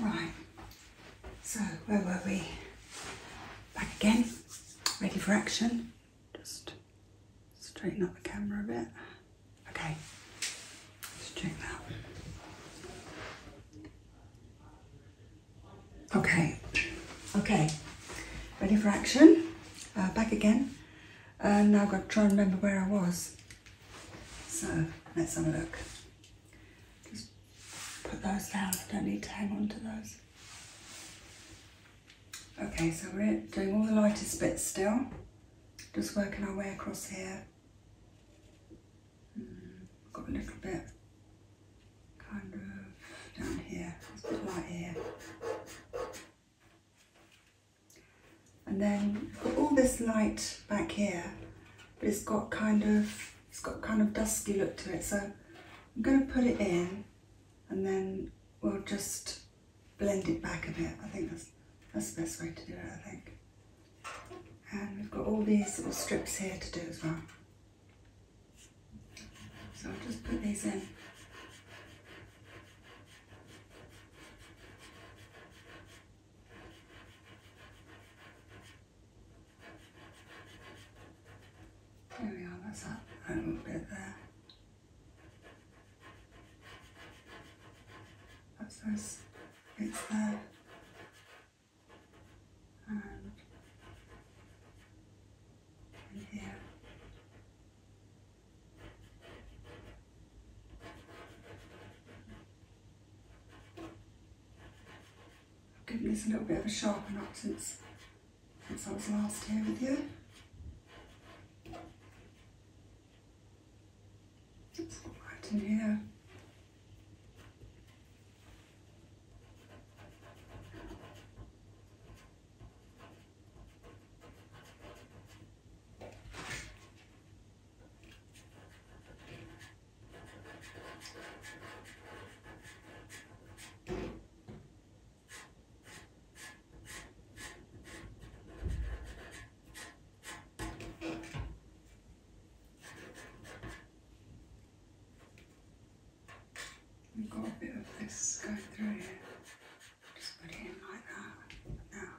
Right, so where were we? Back again, ready for action. Just straighten up the camera a bit. Okay, let that. Okay, okay, ready for action. Uh, back again. And uh, now I've got to try and remember where I was. So let's have a look. Just put those down, I don't need to hang on to those. Okay, so we're doing all the lightest bits still. Just working our way across here. Hmm, got a little bit kind of down here, a bit light here. And then I've got all this light back here, but it's got kind of it's got kind of dusky look to it. So I'm going to put it in, and then we'll just blend it back a bit. I think that's that's the best way to do it. I think. And we've got all these little strips here to do as well. So I'll just put these in. There we are, that's that little bit there. That's those bits there. And in here. I've given this a little bit of a sharpen up since, since I was last here with you. It's all right in here. We've got a bit of this going through here. Just put it in like that. Now.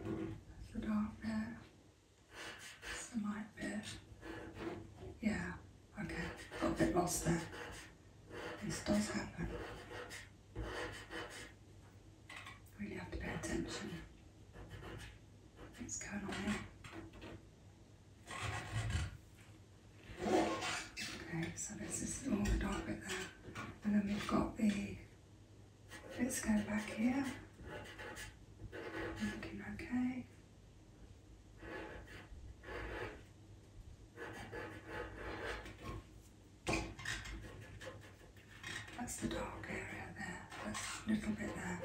That's the dark bit. That's the light bit. Yeah, okay. Got a bit lost there. This does happen. Really have to pay attention. What's going on here? Okay, so this is all the dark bit there and then we've got the Let's go back here, looking okay. That's the dark area there, that's a little bit there.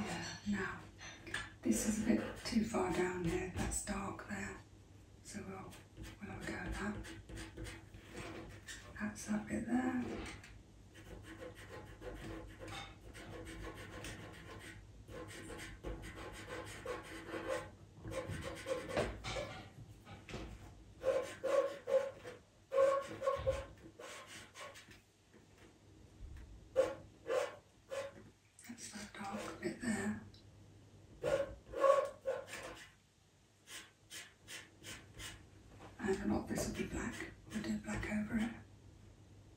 Yeah, now this is a bit too far down here, that's dark there. So we'll we'll have go that. That's that bit there. That's that dark bit there. And a lot of this will be black. We'll do black over it.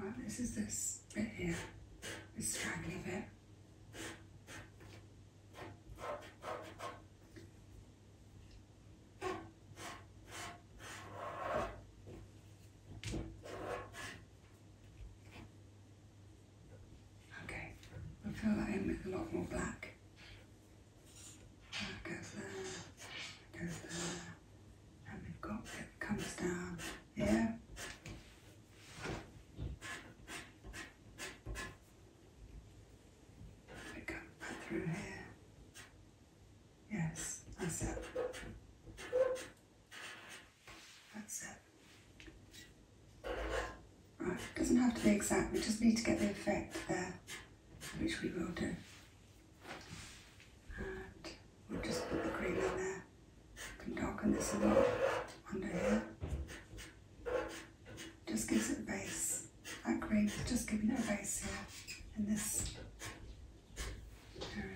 Right, this is this bit here, this straggly bit. Okay, we'll fill that in with a lot more black. That goes there, that and we've got it comes down here. It comes back through here. Yes, that's it. That's it. Right, doesn't have to be exact, we just need to get the effect there which we will do. And we'll just put the cream in there. You can darken this a lot under here. Just gives it a base. That cream just giving it a base here in this area.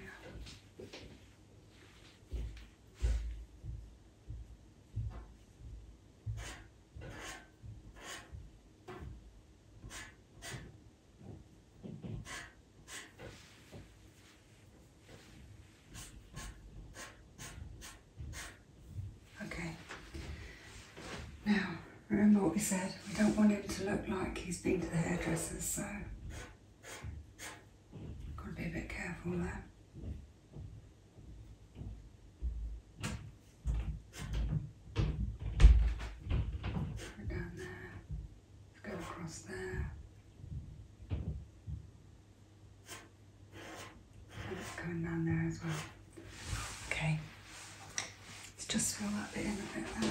Okay. Now, remember what we said, we don't want him to look like he's been to the hairdresser's, so got to be a bit careful there. Right down there. go across there. And down there as well. Okay. Let's just fill that bit in a bit there.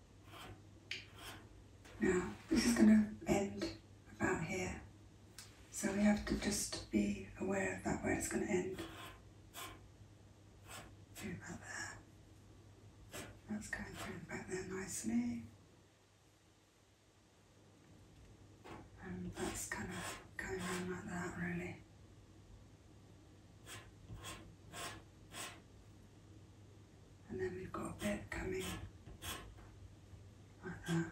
Now, this is going to end about here. So we have to just be aware of that, where it's going to end. Do about there. That's going through back there nicely. And that's kind of going around like that, really and then we've got a bit coming like that.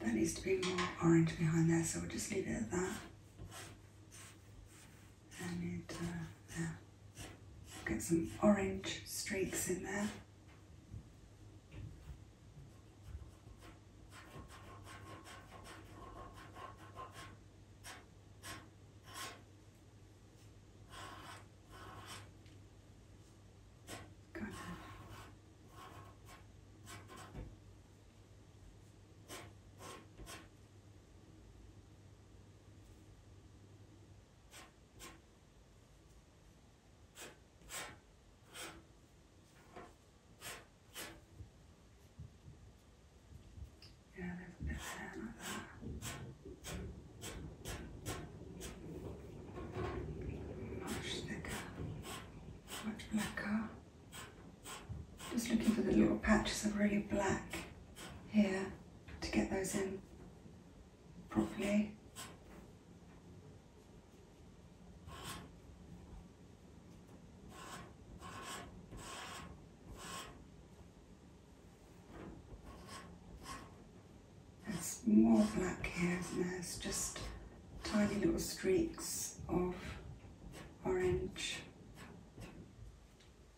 There needs to be more orange behind there, so we'll just leave it at that. I need uh, Get some orange streaks in there. Yeah, there's a bit there, not there. Much thicker, much blacker. Just looking for the little patches of really black here to get those in properly. There's more black here and there's just tiny little streaks of orange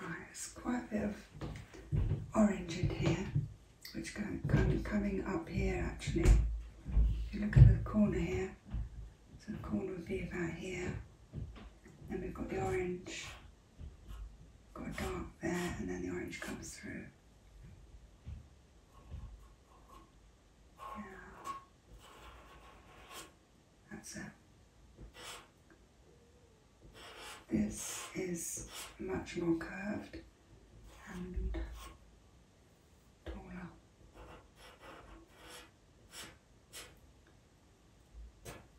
Right, it's quite a bit of orange in here, which kind of coming up here actually. If you look at the corner here, so the corner would be about here. Then we've got the orange, got dark there, and then the orange comes through. Yeah. That's it. This is much more curved and taller.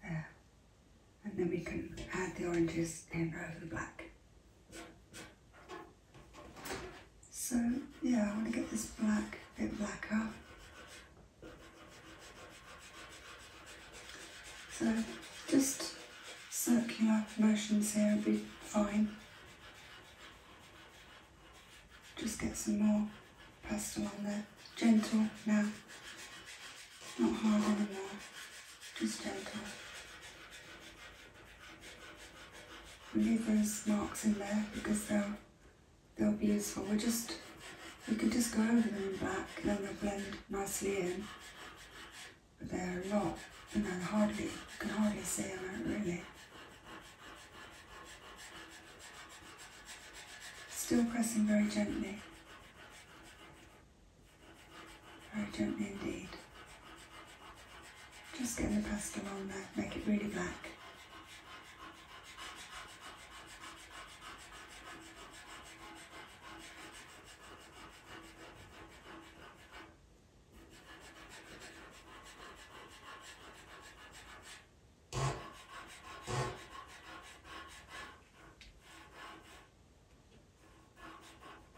There. And then we can add the oranges in over the black. So yeah, I want to get this black a bit blacker. So just circular motions here would be fine. Just get some more pastel on there. Gentle now. Not hard anymore. Just gentle leave those marks in there because they'll they'll be useful. We'll just we can just go over them in black and then they'll blend nicely in. But they're a lot and I hardly you can hardly see them really. Still pressing very gently. Very gently indeed. Just get the pastel on there, make it really black.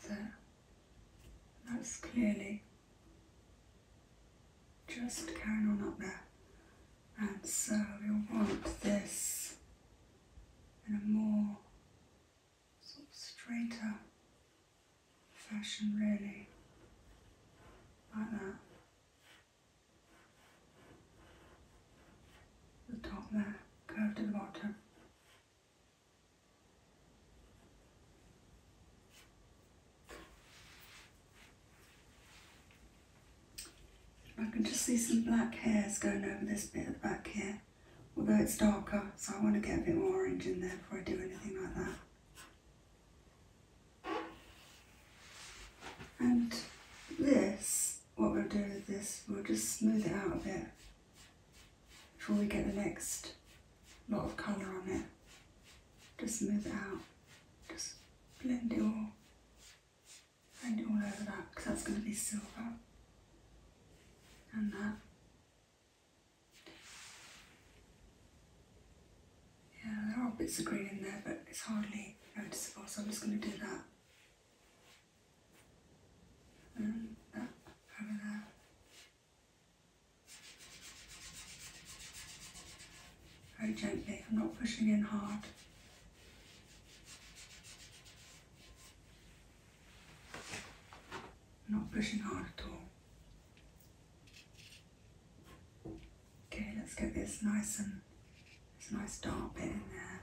That's it. That's clearly just carrying on up there. And so you'll want this in a more sort of straighter fashion really, like that. The top there, curved at the bottom. I can just see some black hairs going over this bit at the back here, although it's darker, so I want to get a bit more orange in there before I do anything like that. And this, what we'll do with this, we'll just smooth it out a bit before we get the next lot of colour on it. Just smooth it out, just blend it all, blend it all over that because that's going to be silver and that. Yeah, there are bits of green in there but it's hardly noticeable so I'm just going to do that very gently, I'm not pushing in hard. not pushing hard at all. Okay, let's get this nice and this nice dark bit in there.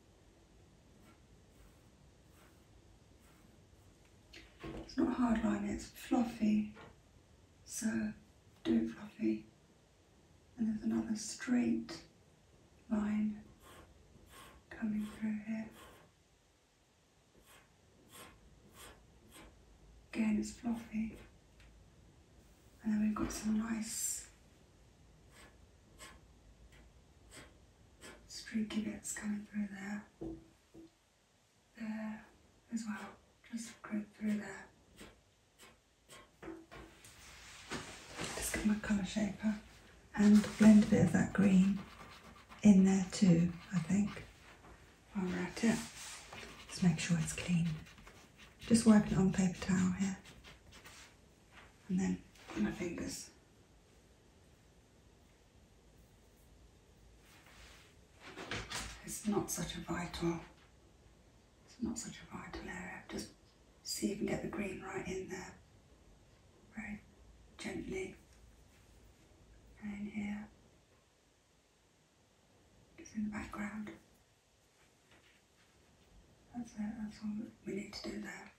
It's not hard line, it's fluffy. So do it fluffy. And there's another straight line coming through here. Again, it's fluffy. And then we've got some nice streaky bits coming through there, there as well, just go through there. Just get my colour shaper and blend a bit of that green in there too, I think, All right, we're at Just make sure it's clean. Just wiping it on paper towel here and then my fingers. It's not such a vital, it's not such a vital area. Just see if you can get the green right in there. Very gently. And in here. Just in the background. That's it, that's all we need to do there.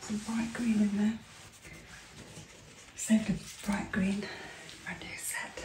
Some bright green in there. Save the bright green for new set.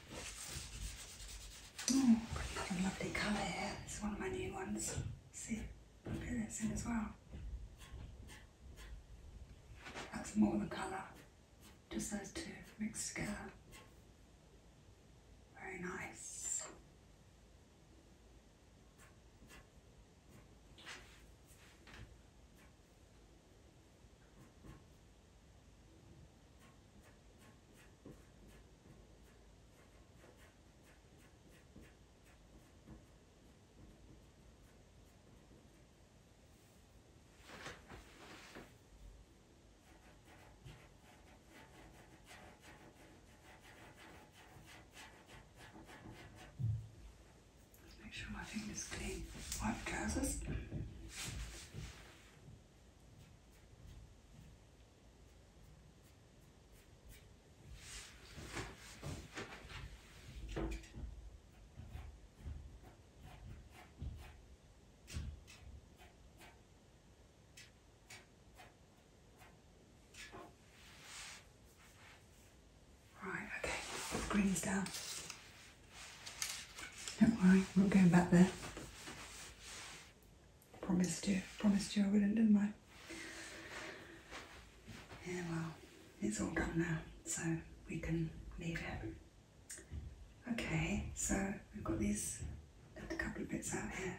Oh, lovely colour here. This is one of my new ones. See, look at this in as well. That's more of a colour. Just those two mixed together. Very nice. Make sure my fingers clean. Wipe trousers. Right, okay, green's down. Don't worry, we're not going back there promised you, promised you I wouldn't, didn't I? Yeah, well, it's all done now, so we can leave it. Okay, so we've got these left a couple of bits out here.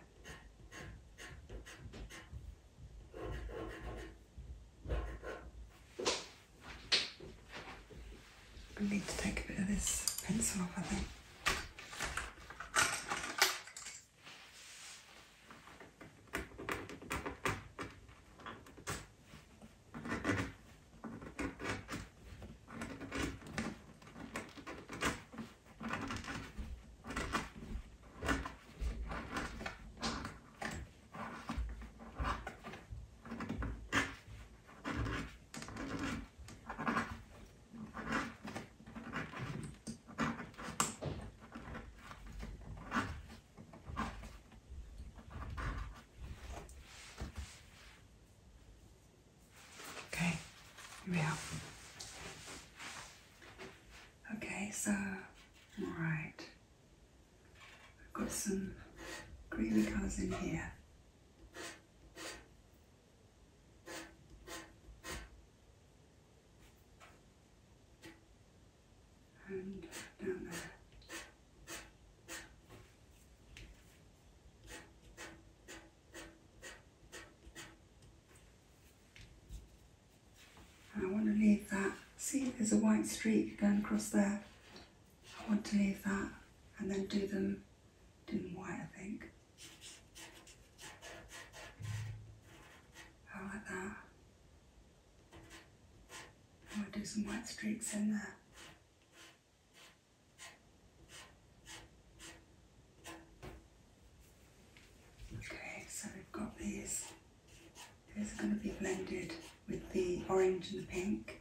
I need to take a bit of this pencil off, I think. Okay, here we are. Okay, so, all right. I've got some greeny colours in here and down there. And I want to leave that. See, there's a white streak going across there. I want to leave that and then do them dim white, I think. I like that. I want do some white streaks in there. Okay, so we've got these. These are going to be blended with the orange and the pink.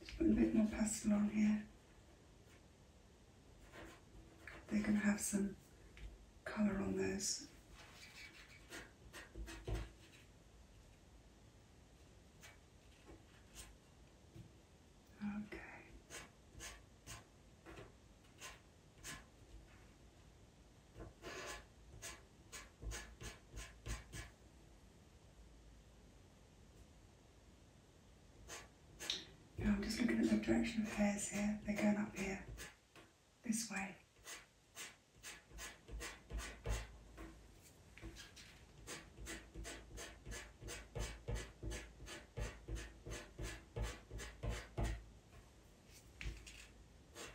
Just put a bit more pastel on here. They're going to have some colour on those. Okay. I'm just looking at the direction of hairs here, they're going up here, this way.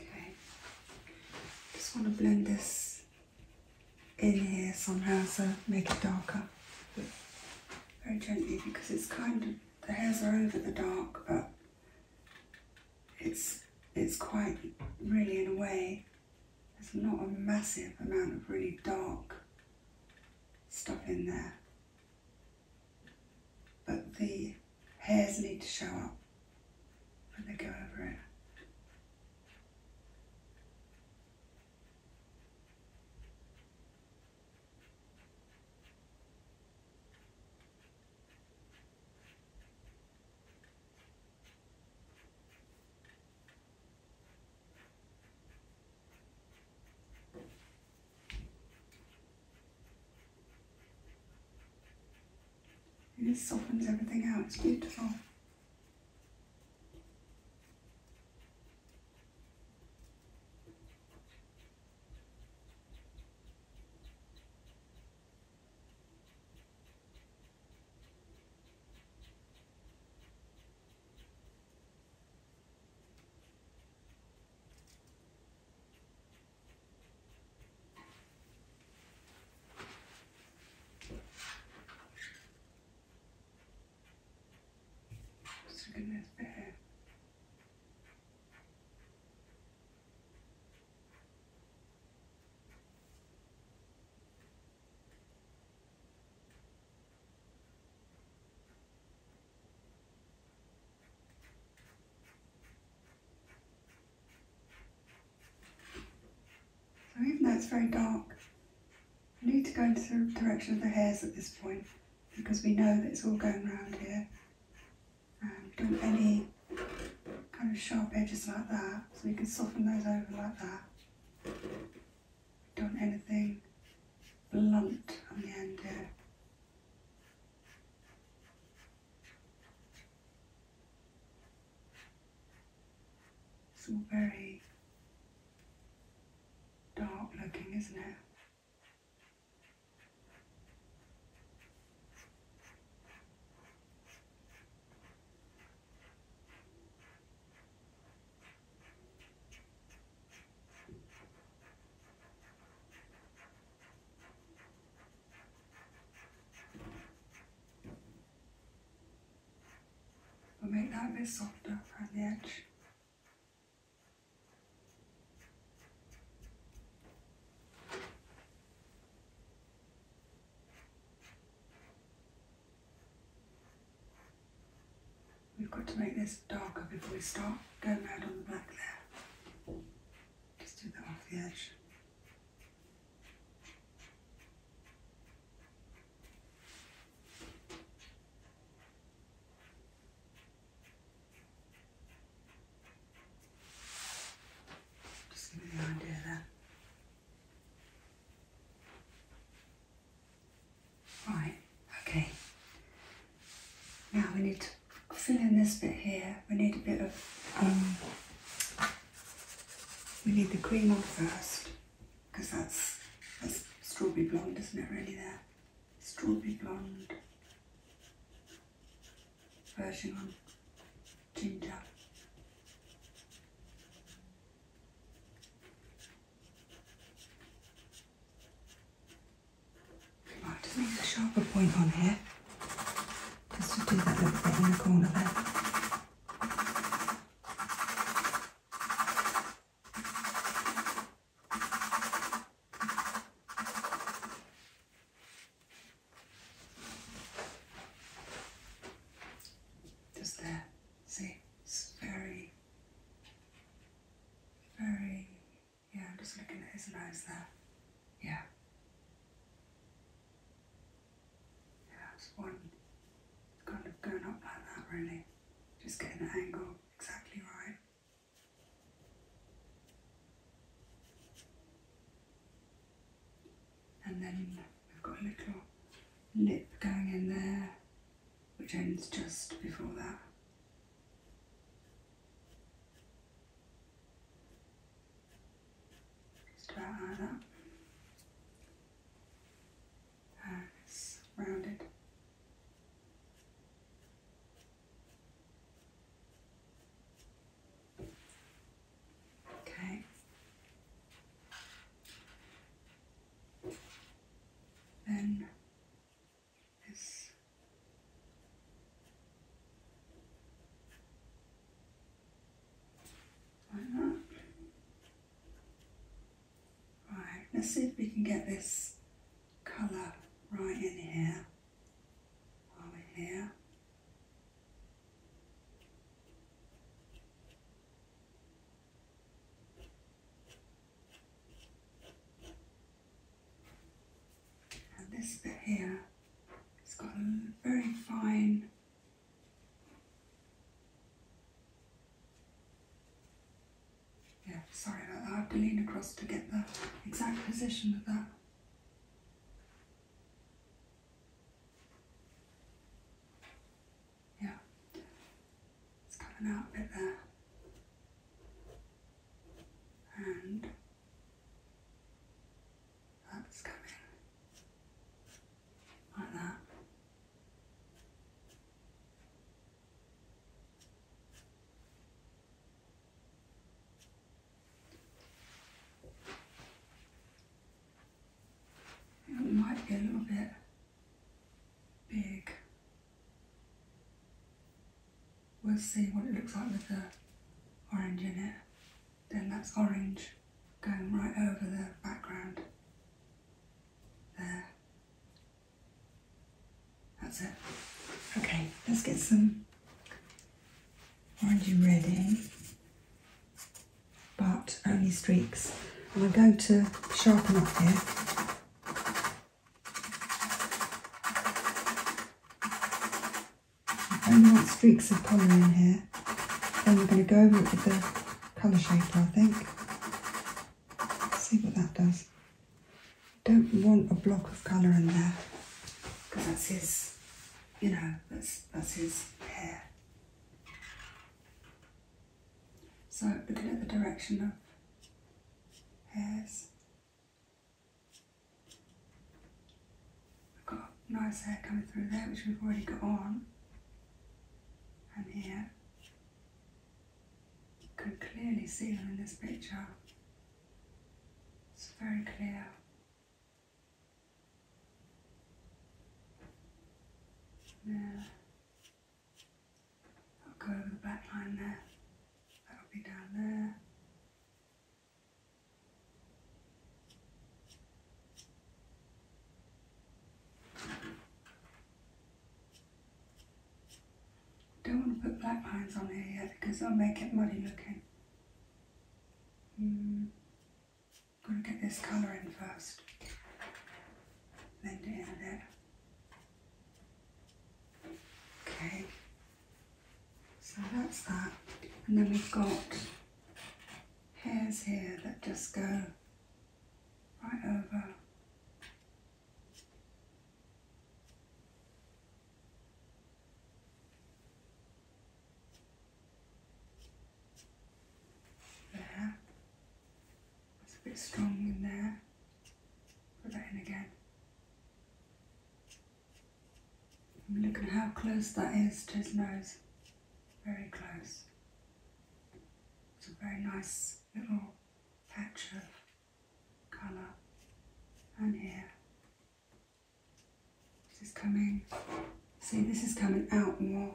Okay, just want to blend this in here somehow, so make it darker. Very gently because it's kind of the hairs are over the dark, but it's it's quite really in a way. There's not a massive amount of really dark stuff in there. But the hairs need to show up when they go over it. And this softens everything out, it's beautiful goodness, bad. So even though it's very dark, I need to go into the direction of the hairs at this point because we know that it's all going round here. And um, don't want any kind of sharp edges like that, so we can soften those over like that. Don't anything blunt on the end here. It's all very dark looking, isn't it? But make that a bit softer around the edge. We've got to make this darker before we start Go mad on the back there. Just do that off the edge. Just give you idea there. Right, okay. Now we need to fill in this bit here. We need a bit of, um, we need the cream on first, because that's, that's strawberry blonde, isn't it really there? Strawberry blonde version on ginger. Right, just need a sharper point on here, just to do that little bit in the corner there. Just there, see, it's very very, yeah, I'm just looking at his nose there. Yeah. Yeah, one kind of going up like that really. Just getting the angle exactly right. And then we've got a little lip going in there which ends just before that. Just about like that. And it's rounded. Okay. Then this like Right, let's see if we can get this colour right in here while we're here. And this bit here, it's got a very fine Yeah, sorry I have to lean across to get the exact position of that. Yeah, it's coming out a bit there. And that's coming like that. It might be a little bit big. We'll see what it looks like with the orange in it. Then that's orange going right over the background. There. That's it. Okay, let's get some orangey red in, but only streaks. I'm going to sharpen up here I only want streaks of colour in here. Then we're going to go over it with the colour shaper, I think. see what that does. Don't want a block of colour in there because that's his, you know, that's that's his hair. So looking at the direction of hairs, I've got nice hair coming through there which we've already got on and here you can clearly see them in this picture, it's very clear. There. I'll go over the black line there. That'll be down there. Don't want to put black lines on here yet because that'll make it muddy looking. I'm going to get this colour in first, blend down there. Okay, so that's that. And then we've got hairs here that just go right over. There. That's a bit strong in there. Put that in again. look at how close that is to his nose. Very close. It's a very nice little patch of colour. And here. This is coming. See, this is coming out more.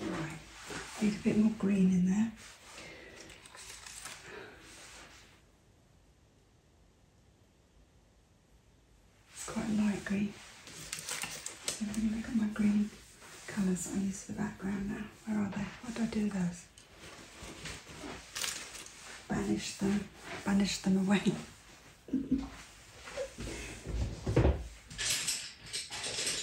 Right, need a bit more green in there. It's quite light green. So I'm going to look at my green colours I use for the background now. Where are they? What do I do those? Banish them, banish them away.